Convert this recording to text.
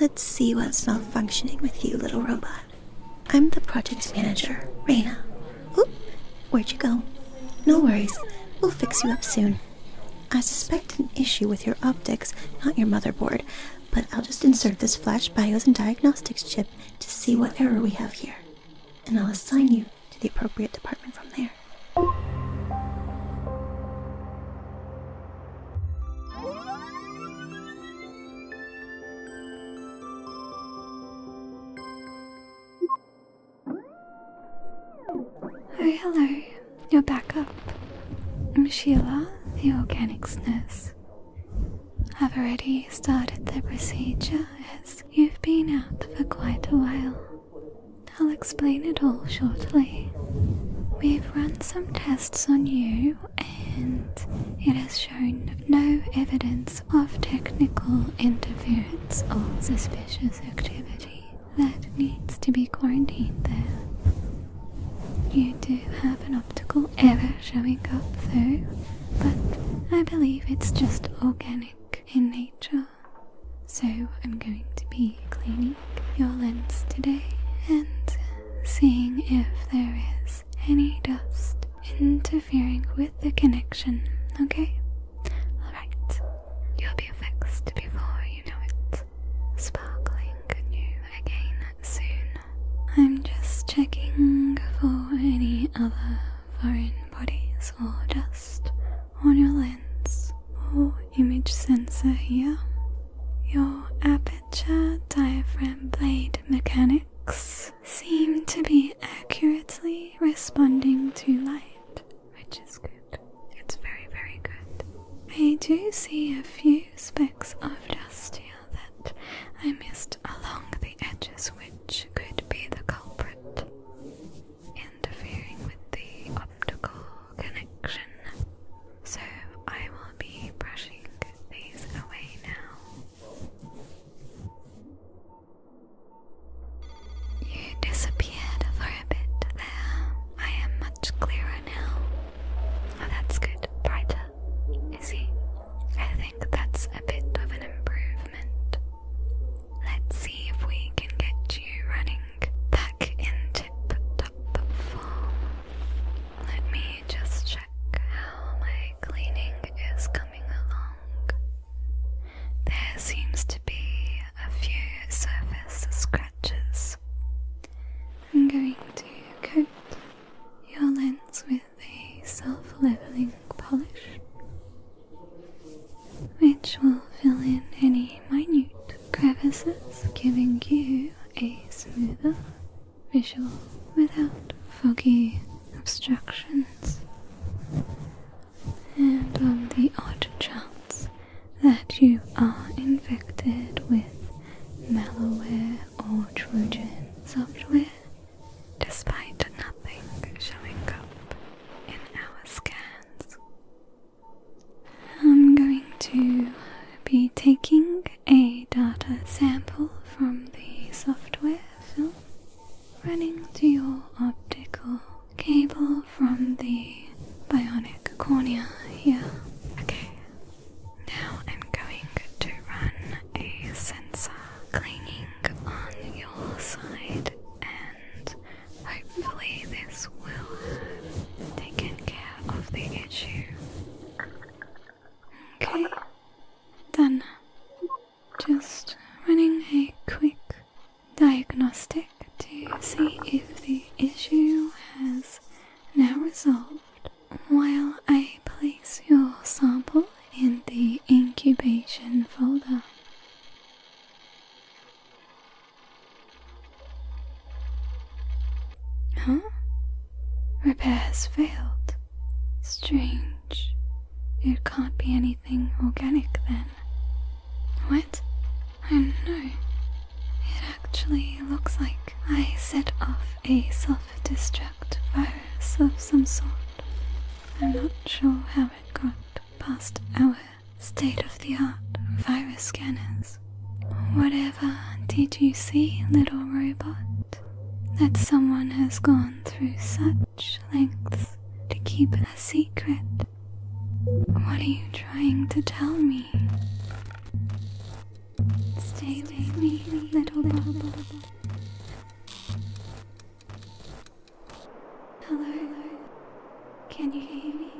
Let's see what's malfunctioning with you, little robot. I'm the project manager, Reina. Oop, where'd you go? No worries, we'll fix you up soon. I suspect an issue with your optics, not your motherboard, but I'll just insert this flash BIOS and diagnostics chip to see what error we have here, and I'll assign you to the appropriate department from there. Oh, hello. You're back up. i Sheila, the organics nurse. I've already started the procedure as you've been out for quite a while. I'll explain it all shortly. We've run some tests on you, and it has shown no evidence of technical interference or suspicious activity that needs to be quarantined there. You do have an optical error showing up, though, but I believe it's just organic in nature. So, I'm going to be cleaning your lens today and seeing if there is any dust interfering with the connection, okay? Alright, you'll be fixed before you know it. Sparkling new again soon. I'm just checking for any other foreign bodies or dust on your lens or image sensor here. Your aperture diaphragm blade mechanics seem to be accurately responding to light, which is good. It's very, very good. I do see a few specks of dust here that I missed along the edges, which could be the culprit, interfering with the optical connection. So I will be brushing these away now. You disappeared for a bit there. I am much clearer now. Oh, that's good. Brighter is he? I think that's a bit of an improvement. Let's see if we can get you running back in top form. Let me just check how my cleaning is coming along. There seems to be a few surface scratches. I'm going to coat your lens with a self leveling polish, which will fill in any minute crevices, giving you a smoother visual without foggy obstructions. And on the odd chance that you are infected with malware or Trojan software, despite nothing showing up in our scans. I'm going to be taking a data sample from the software film, running through your optical cable from the bionic cornea yeah. Okay, now I'm going to run a sensor cleaning on your side, and hopefully, this will take care of the issue. Okay, done. Just running a quick diagnostic to see if the issue has now resolved while I place your sample in the incubation folder. Huh? Repairs failed. Strange. It can't be anything organic then. What? I know. It actually looks like I set off a self destruct virus of some sort. I'm not sure how it got past our state of the art virus scanners. Whatever did you see, little robot? That someone has gone through such lengths to keep it a secret. What are you trying to tell me? Stay with me, little bubble. Hello, can you hear me?